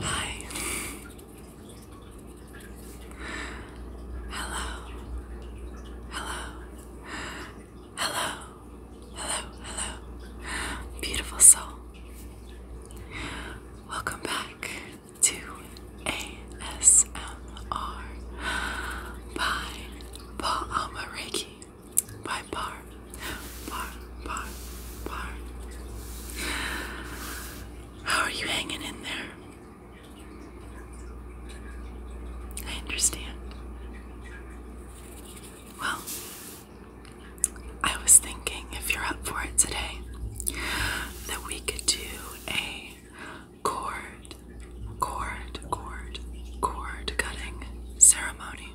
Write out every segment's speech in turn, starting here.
Hi. Hello. Hello. Hello. Hello. Hello. Beautiful soul. Welcome back to ASMR by Paul Alma by bar, bar, bar, bar. How are you hanging in there? I understand. Well, I was thinking if you're up for it today, that we could do a cord, cord, cord, cord cutting ceremony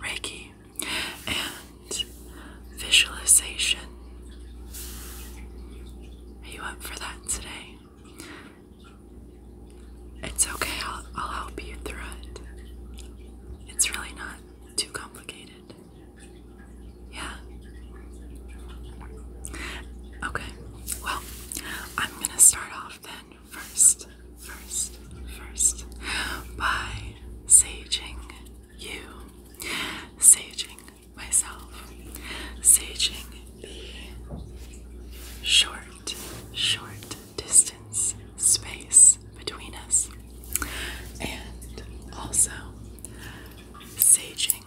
Reiki and visualization. Are you up for that today? It's okay, I'll, I'll help you through it. It's really not too complicated. Yeah? Okay, well, I'm gonna start off then first, first, first by saging you, saging myself, saging the short, short distance space between us, and also saging.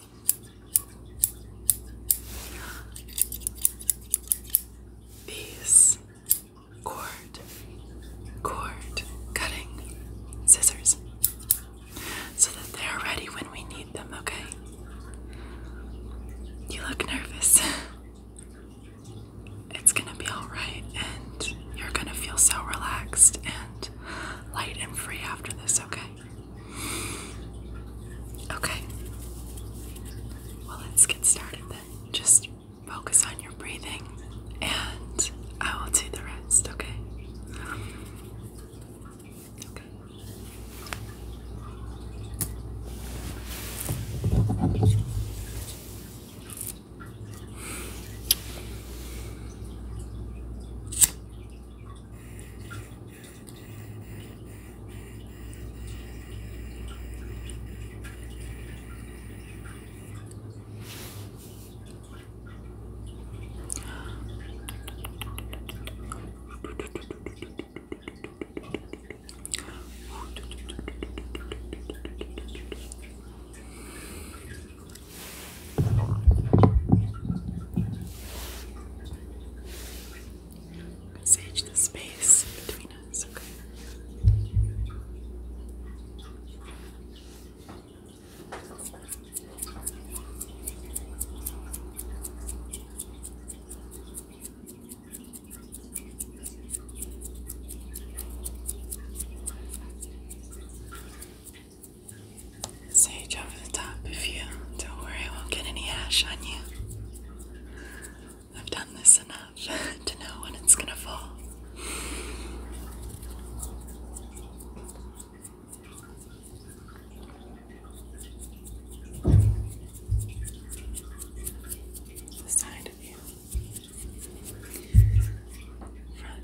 peace cord, cord, cutting, scissors, so that they are ready when we need them, okay? You look nervous. It's gonna be alright, and you're gonna feel so relaxed and light and free after this, okay? Okay. Well, let's get started then. Just focus on your breathing and I will do the rest, okay? Okay. Sage the space between Venus, okay. Sage over the top of you. Don't worry, I won't get any ash on you. I've done this enough to know when it's going to fall. side of you, front.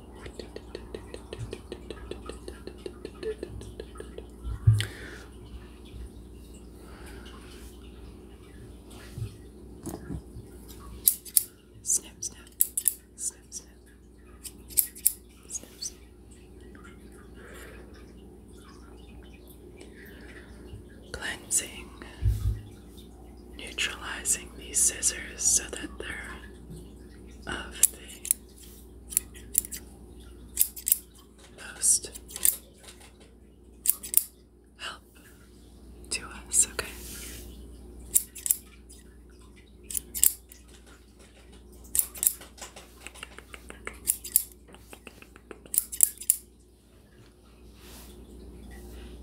Snip, snip, snip, snip, Cleansing, neutralizing these scissors so that they're of the most help to us, okay?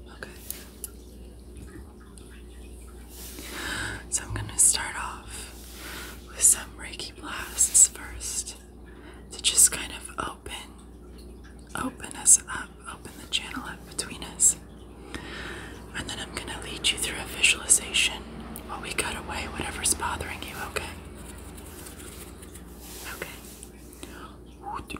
Okay. So I'm going to start off with some Reiki blasts first to just kind of open open us up, open the channel up between us. And then I'm going to lead you through a visualization while we cut away whatever's bothering you, okay? Okay.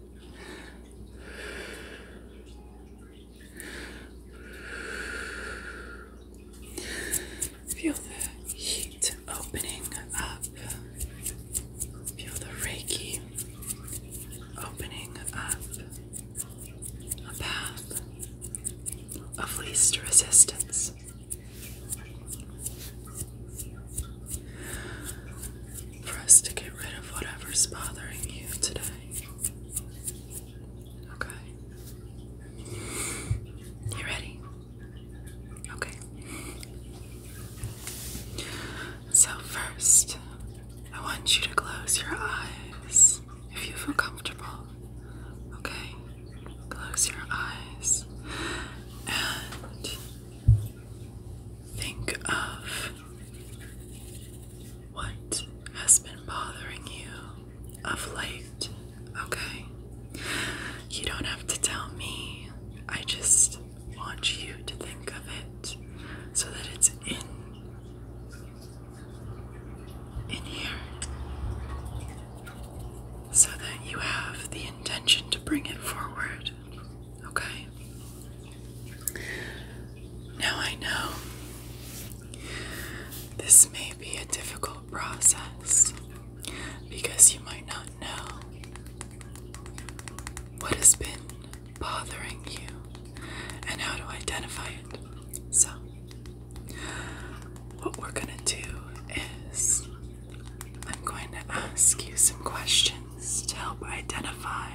Feel the heat opening up. Feel the Reiki opening up a path of least resistance for us to get rid of whatever's bothering you today. Okay. You ready? Okay. So, first, I want you to close your eyes if you feel comfortable. Okay? Close your eyes and think of what has been bothering you of late, okay? You don't have to tell me. I just want you to think of it so that it's in in here. So that you have the intention to bring it forward. Okay. Now I know this may be a difficult process because you might not know what has been bothering you and how to identify it. So, what we're going to do is I'm going to ask you some questions to help identify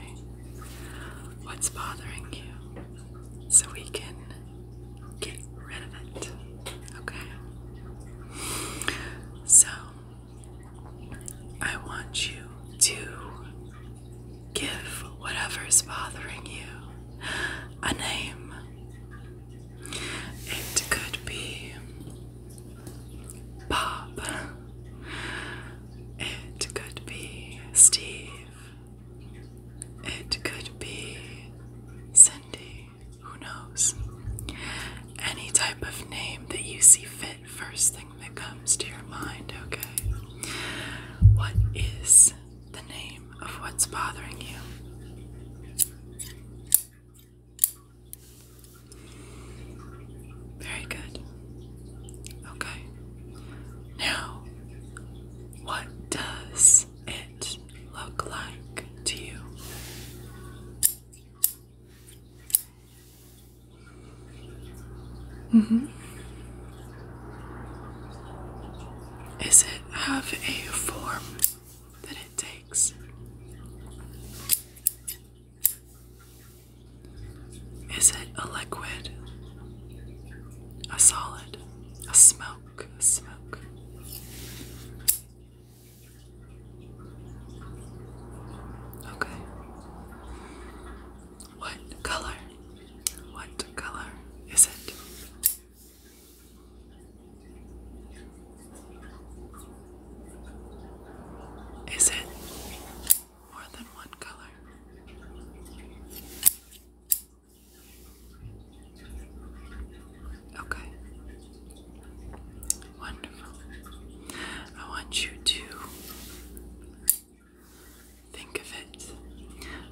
what's bothering you so we can get rid of it. Okay? So, I want you to give whatever's bothering you a name. It could be Bob. It could be Steve. It could be Cindy. Who knows? Any type of name that you see fit, first thing that comes to your mind, okay? What is the name of what's bothering you? Very good. Okay. Now, what does it look like to you? hmm. Is it have a form that it takes? Is it a liquid? A solid? A smoke? A smoke? Okay. What color? What color is it? Is it more than one color? Okay. Wonderful. I want you to think of it,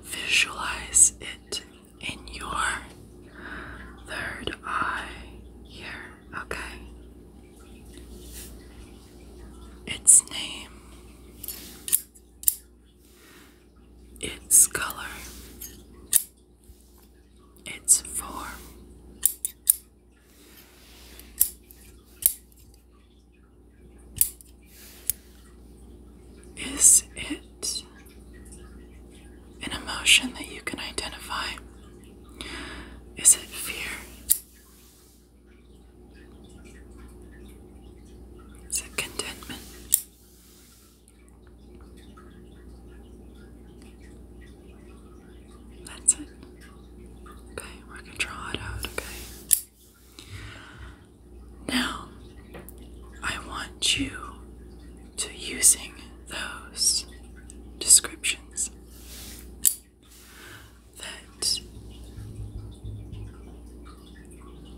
visualize it in your third eye here, okay? its name, its color, its form. Is it an emotion that you can identify? Is it fear? Is it contentment? That's it. Okay, we're going to draw it out, okay? Now, I want you to using those descriptions that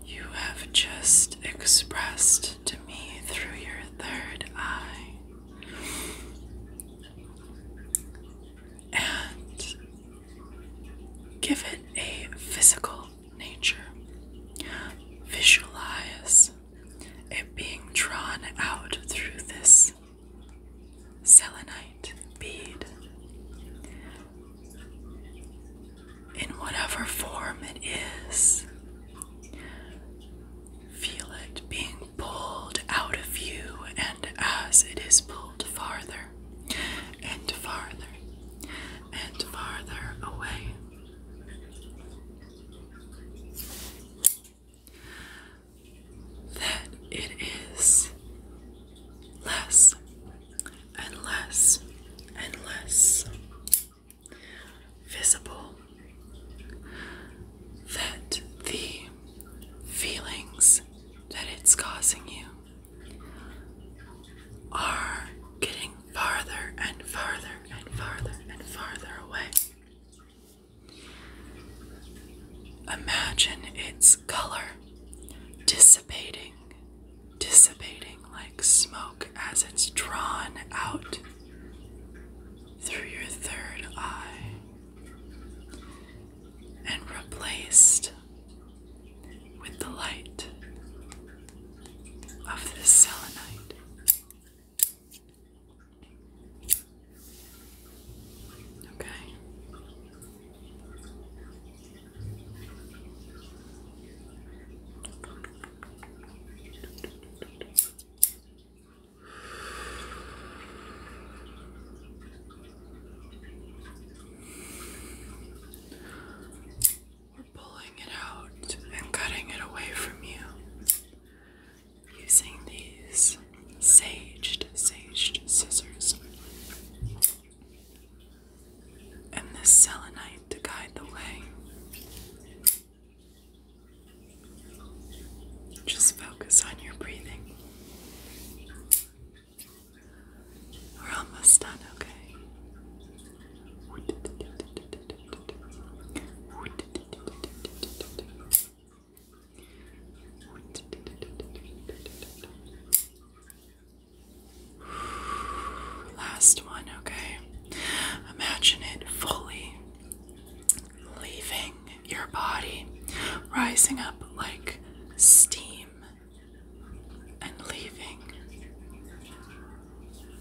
you have just expressed to me through your third eye. And give it a physical nature. Visualize it being drawn out through this selenite bead in whatever form it is. Feel it being pulled out of you, and as it is pulled farther and farther and farther away that it is less and less and less visible that the feelings that it's causing you are getting farther and farther and farther and farther away. Imagine its color dissipating, dissipating like smoke as it's drawn out through your third eye and replaced with the light of the selenite. Okay. We're pulling it out and cutting it away from you using these saged, saged scissors. And this selenite to guide the way. Just focus on your breathing. We're almost done, okay? Last one, okay. Imagine it fully leaving your body, rising up like steam and leaving.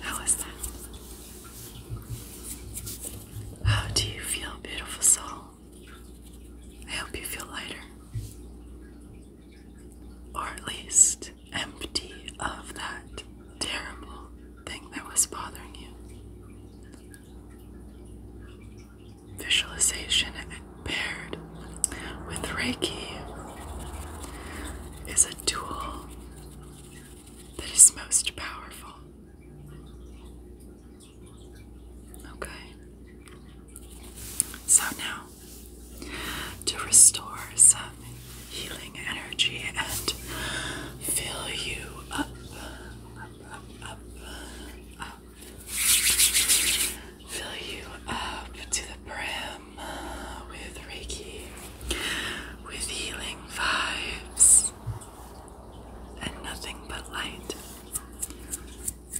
How is that? How oh, do you feel, beautiful soul? I hope you feel lighter. Or at least empty of that terrible thing that was bothering you. Visualization paired with Reiki is a tool that is most powerful. Okay. So now, to restore some healing energy and fill you up, fill you up to the brim with Reiki, with healing vibes, and nothing but light.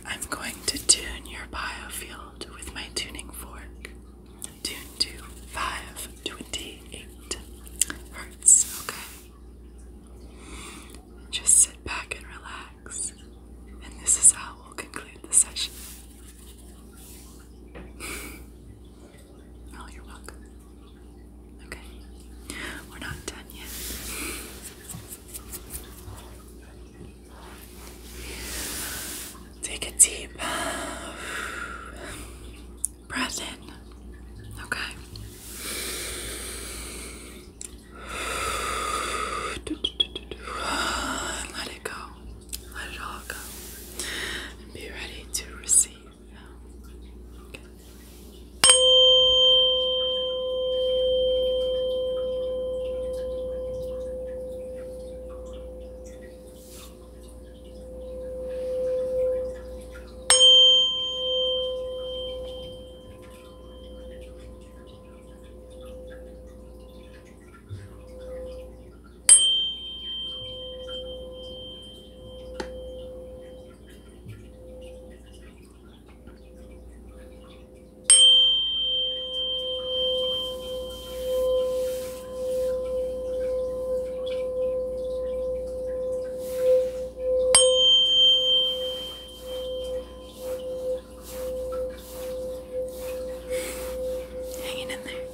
I'm going to tune your biofield with my tuning fork. Tune to 528 hertz, okay? Just sit back and relax. And this is how we'll conclude the session oh, you're welcome. Okay. We're not done yet. Take a deep breath in. Okay. Let it go. Let it all go. And be ready to receive. Hanging in there.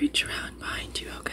Reach around behind you, okay?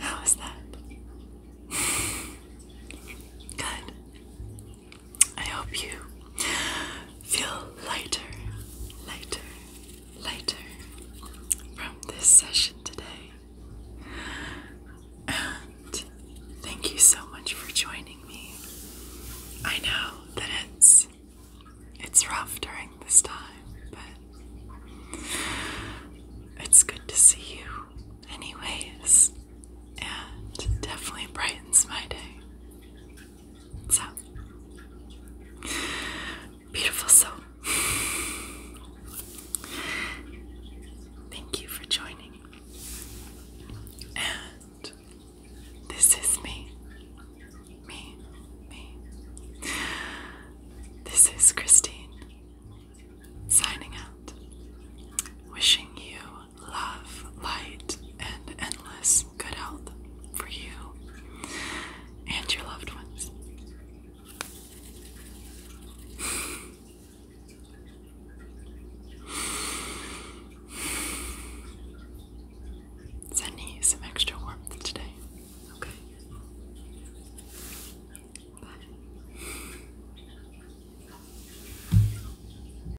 How is that? Good. I hope you feel lighter, lighter, lighter from this session today. And thank you so much for joining me. I know that it's it's rough during this time, but it's good to see you anyways. And definitely brightens my day. So beautiful soul. Thank you for joining. And this is me. Me, me. This is Christine signing out, wishing you love, light, and endless good health for you and your loved ones. Sending you some extra warmth today. Okay. Bye.